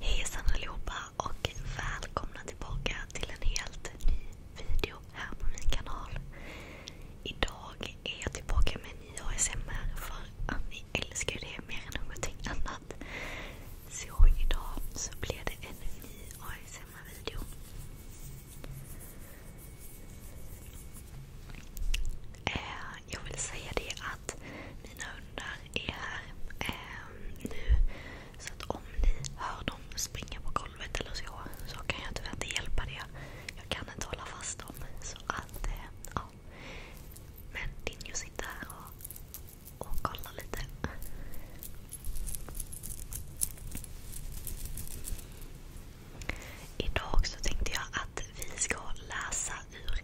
Hejsan allihopa och välkomna tillbaka till en helt ny video här på min kanal. Idag är jag tillbaka med en ny ASMR för att ni älskar det mer än någonting annat. Så idag så blir det en ny ASMR-video. Eh, jag vill säga det mina hundar är här ehm, nu. Så om ni hör dem springa på golvet eller så, så kan jag tyvärr inte hjälpa det. Jag kan inte hålla fast dem. Ehm, Men Dinjo sitter här och kollar lite. Idag så tänkte jag att vi ska läsa ur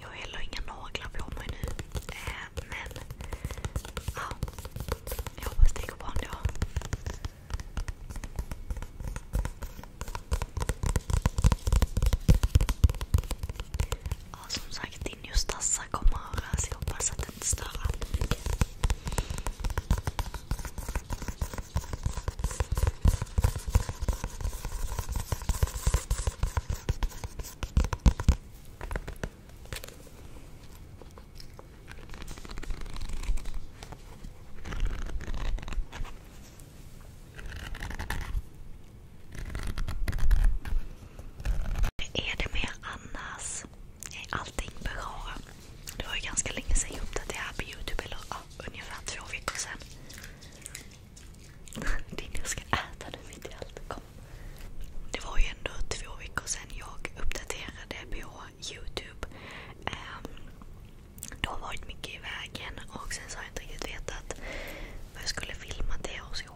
Jag har heller inga naglar på mig nu. Äh, men ja, jag hoppas det går bra ändå. Ja, som sagt, din Justassa kommer att höras. Jag hoppas att det inte stör allt mycket är det med Annas? Är allting bra? Det var ju ganska länge sedan jag uppdaterade här på Youtube. Eller ungefär två veckor sedan. Din jag ska äta nu mitt i allt. Kom. Det var ju ändå två veckor sedan jag uppdaterade på Youtube. Ehm, det har varit mycket i vägen och sen så har jag inte riktigt vetat vad jag skulle filma det och så.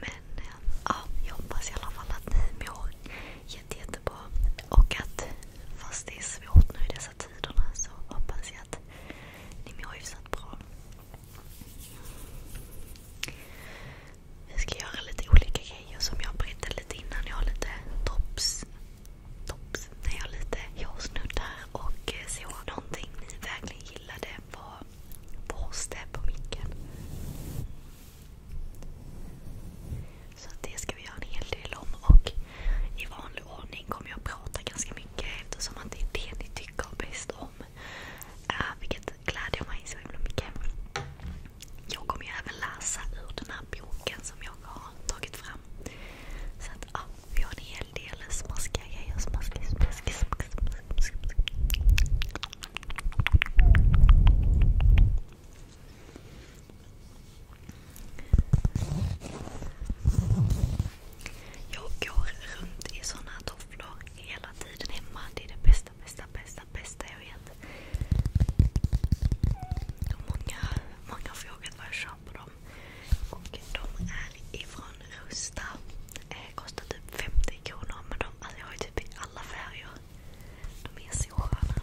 Men ehm, jag hoppas i alla fall att ni mår jätte, Och att fast det är svårt nu i dessa tiderna så hoppas jag att ni mår hyfsat bra. Vi ska göra lite olika grejer som jag berättade lite innan. Jag har lite tops. tops. När jag har lite hårsnuddar och eh, så. Någonting ni verkligen gillade var borste på micken. Så det ska vi göra en hel del om. Och i vanlig ordning kommer jag prata ganska mycket eftersom att det är det ni tycker bäst om. Uh, vilket glädjer mig så himla mycket. Jag kommer ju även läsa ur den här boken som jag har tagit fram. Så att ja, vi har en hel del smaskiga grejer. Smaskig, smaskig, smaskig, smaskig, smaskig. Jag går runt i såna tofflor hela tiden hemma. Det är det bästa, bästa, bästa, bästa jag vet. många, har frågat vad jag köper dem. Och de är ifrån Rusta. Eh, kostar typ 50 kronor men de, alltså jag har ju typ i alla färger. De är så sköna.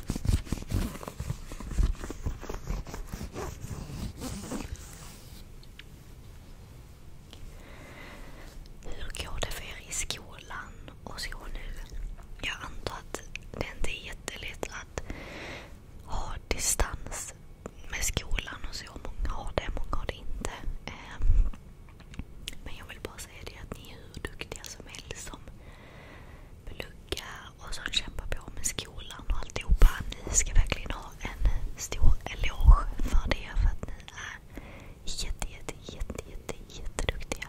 Hur går det för er i skolan och så nu? Jag antar att det inte är jättelätt att ha distans med skolan och så. Många har det, många har det inte. Ehm, men jag vill bara säga det att ni är hur duktiga som helst som plugga och som kämpar på med skolan och alltihopa. Ni ska verkligen ha en stor eloge för det. För att ni är jätte, jätte, jätte, jätte, jätteduktiga.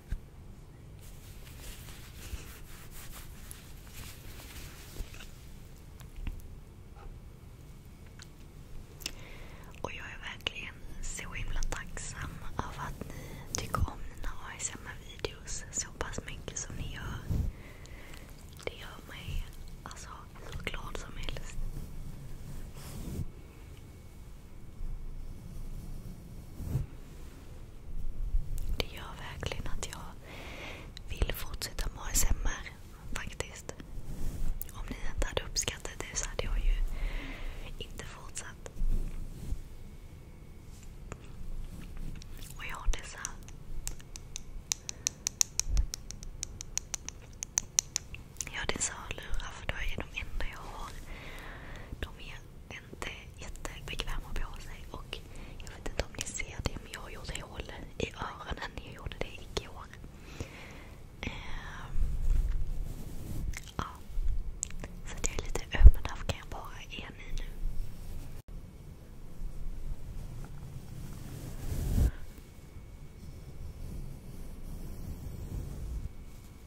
Och jag är verkligen så himla tacksam över att ni tycker om mina ASMR-videos så pass mycket som ni gör. Det gör mig alltså glad som helst. Det gör verkligen att jag vill fortsätta med ASMR faktiskt. Om ni inte hade uppskattat det så hade jag ju inte fortsatt. Och jag har dessa Ja, det är hörlurar för då är de enda jag har. De är inte jättebekväma på sig. Och jag vet inte om ni ser det, men jag har gjort hål i öronen. Jag gjorde det igår. Ehm, ja. Så att jag är lite öm, men därför kan jag bara är ni nu.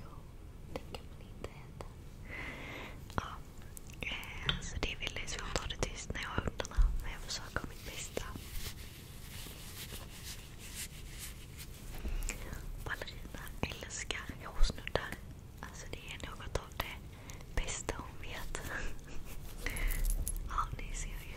Jo, det kan man inte äta. Eh, det ville jag. Så jag tar det tyst när jag har hundarna. Men jag försöker mitt bästa. Ballerina älskar hårsnuddar. Alltså, det är något av det bästa hon vet. ja, ni ser ju.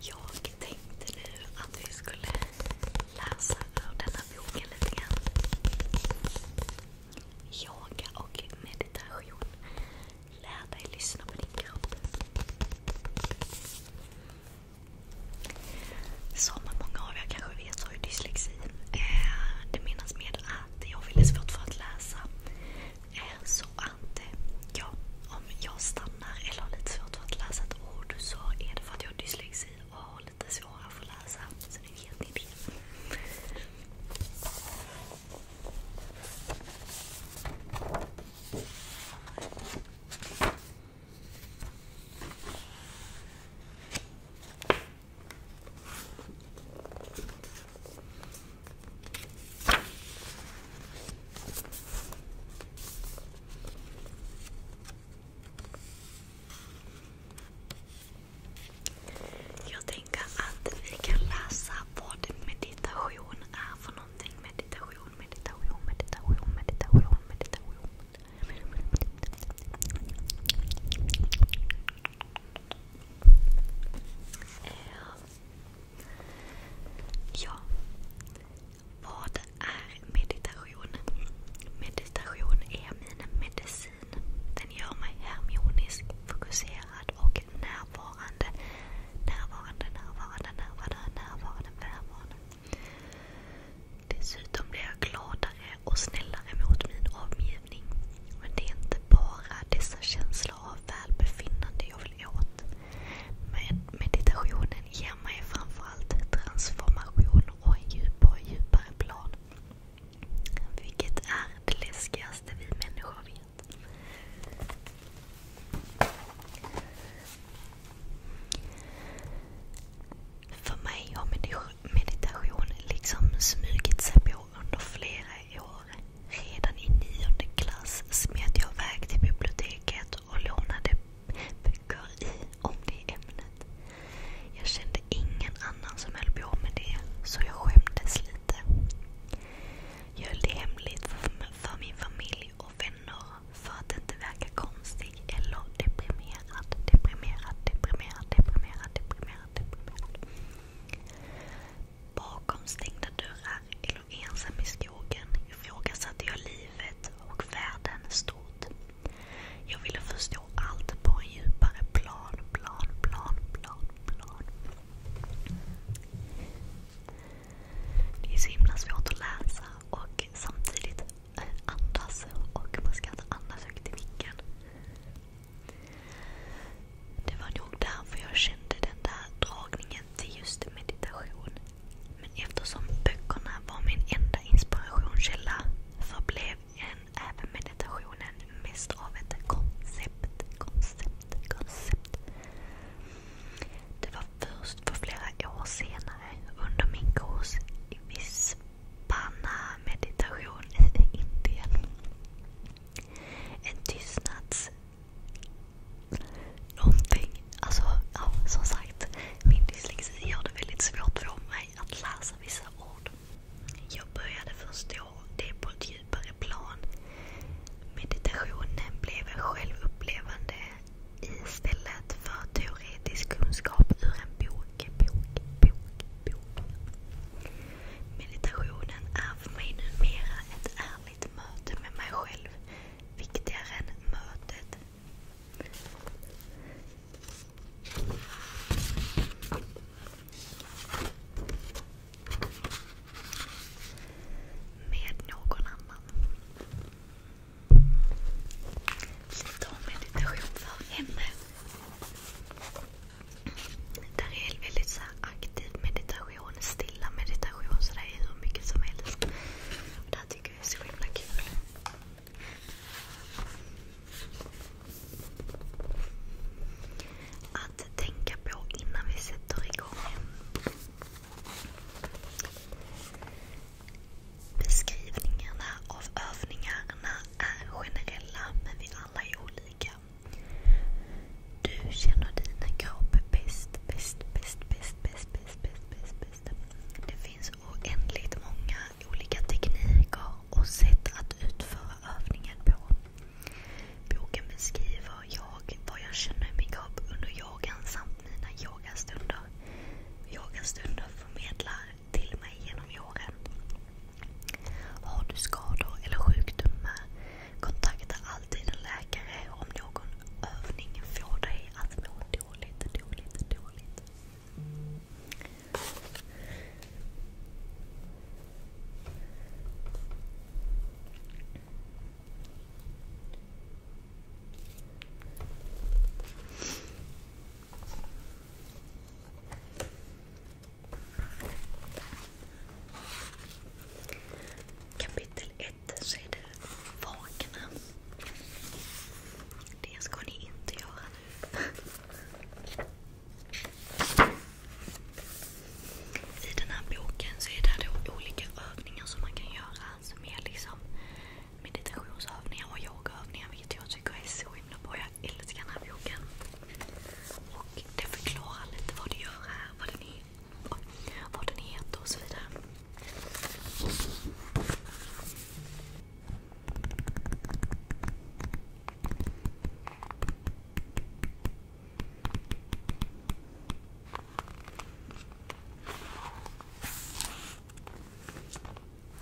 Jag tänkte nu att vi skulle läsa ur den här boken lite grann. Yoga och meditation. Lär dig lyssna på din kropp. Som många av er kanske vet så har jag dyslexi. Eh, det menas med att jag ville svårt för att läsa. Eh, så att eh, ja, om jag stannar eller har lite svårt för att läsa ett ord så är det för att jag har dyslexi och har lite svårare för att läsa. Så nu vet ni det. Jag tänker att vi kan läsa vad meditation är för någonting. Meditation Ja. Vad är meditation? Meditation är min medicin. Den gör mig harmonisk, fokuserad och närvarande. Närvarande, närvarande, närvarande, närvarande, närvarande. Dessutom blir jag gladare och snällare mot min omgivning. Men det är inte bara dessa känslor av välbefinnande jag vill åt. Men meditationen ger mig framförallt transformation och en djup och djupare plan. Vilket är det läskigaste vi människor vet. För mig har meditation liksom smugit sig på under flera år. Redan i nionde klass smet jag iväg till biblioteket och lånade böcker om det ämnet. Jag kände ingen annan som höll på med det, så jag skämdes lite. Jag höll det hemligt för min familj och vänner för att inte verka konstig eller deprimerad. Deprimerad, deprimerad, deprimerad, deprimerad, deprimerad. Bakom stängda dörrar eller ensam i skogen ifrågasatte jag livet och världen stort. Jag ville förstå allt på en djupare plan, plan, plan, plan, plan. Det är så himla svårt att läsa och samtidigt eh, andas. Och man ska inte andas högt i micken. Det var nog därför jag kände den där dragningen till just meditation. Men eftersom böckerna var min enda inspirationskälla förblev även meditationen mest av ett koncept, koncept, koncept. Det först flera år senare under min kurs i Vispana meditation i Indien. En tystnads... Någonting. Alltså, som sagt. Min dyslexi gör det väldigt svårt för mig att läsa vissa ord. Jag började förstå det på ett djupare plan. Meditationen blev en självupplevande istället för teoretisk kunskap ur en bok, bok, bok, bok. Meditationen är för mig numera ett ärligt möte med mig själv. Viktigare än mötet. Med någon annan. Lite om meditation för henne. Det här är väldigt så aktiv meditation, stilla meditation så det är hur mycket som helst. Och det här tycker jag är så himla kul. Att tänka på innan vi sätter igång. Beskrivningarna av övningarna är generella men vi alla är olika. Du känner din kropp bäst, bäst, bäst, bäst, bäst, bäst, bäst, bäst. Det finns oändligt många olika tekniker och sätt att utföra övningen på. Boken beskriver jag vad jag känner i min kropp under yogan mina yogastunder. Yogastunder förmedlar till mig genom yogan. Har du skador eller sjukdomar, kontakta alltid en läkare om någon övning får dig att må dåligt, dåligt, dåligt. Kapitel 1 så är det vakna. Det ska ni inte göra nu. I den här boken så är det olika övningar som man kan göra meditationsövningar och yogaövningar vilket jag tycker är så himla bra. Jag älskar den här boken. Och förklarar lite vad det gör här, vad den heter och så vidare.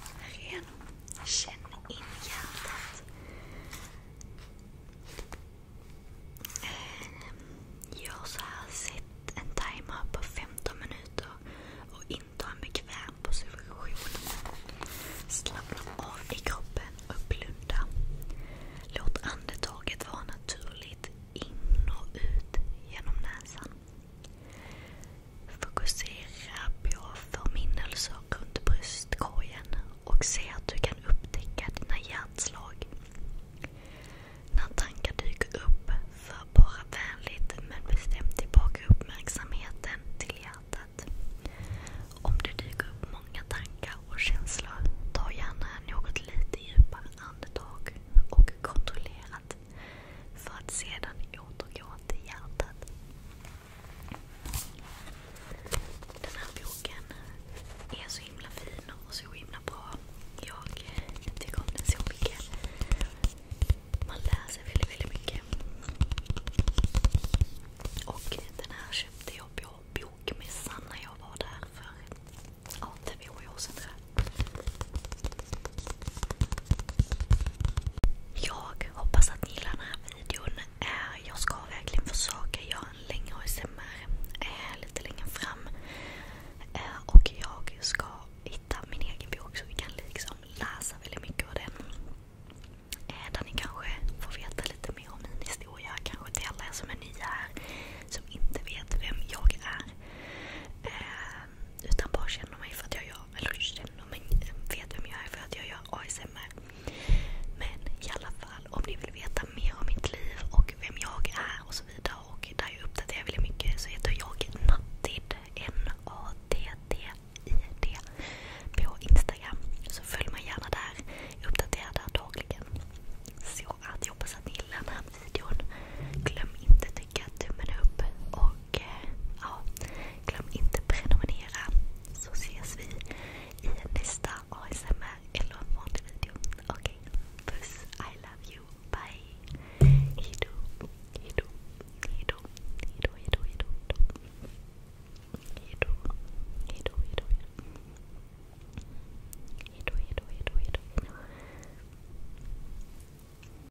Ren. Känn in hjärtat. Eh, Gör så Sätt en timer på 15 minuter och inta en bekväm position. Slappna av i kroppen och blunda. Låt andetaget vara naturligt in och ut genom näsan. Fokusera på förminnelser runt bröstkorgen och se att du kan upptäcka dina hjärtslag. När tankar dyker upp, för bara vänligt men bestämt tillbaka uppmärksamheten till hjärtat. Om det dyker upp många tankar och känslor, ta gärna något lite djupare andetag och kontrollerat för att sedan återgå till hjärtat. Den här boken är så himla fin och så himla bra. Jag tycker om den så mycket. Man lär sig väldigt, väldigt mycket. Och den här köpte jag på bokmässan när jag var där för två år sedan. Jag hoppas att ni gillar den här videon. Eh, jag ska verkligen försöka göra en längre ASMR eh, lite längre fram. Eh, och jag ska hitta min egen bok så vi kan liksom läsa väldigt mycket av den. Där ni kanske får veta lite mer om min historia. Kanske till alla er som är nya här, som inte vet vem jag är. Eh, utan bara känner mig för att jag gör, eller känner mig, vet vem jag är för att jag gör ASMR. Men i alla fall, om ni vill veta mer om mitt liv och vem jag är och där jag uppdaterar väldigt mycket så heter jag Nattid. N-A-T-T-I-D. På Instagram. Så följ mig gärna där. Jag dagligen. Så att jag hoppas att ni gillar den här videon. Glöm inte att tycka tummen upp och och ja, glöm inte prenumerera så ses vi i nästa ASMR eller en vanlig video. Okej, okay. puss. I love you. Bye. Hejdå. Hejdå. Hejdå. Hejdå. Hejdå. Hejdå. Hejdå. Hejdå. Hejdå. Hejdå. Hejdå. Hejdå. Hejdå.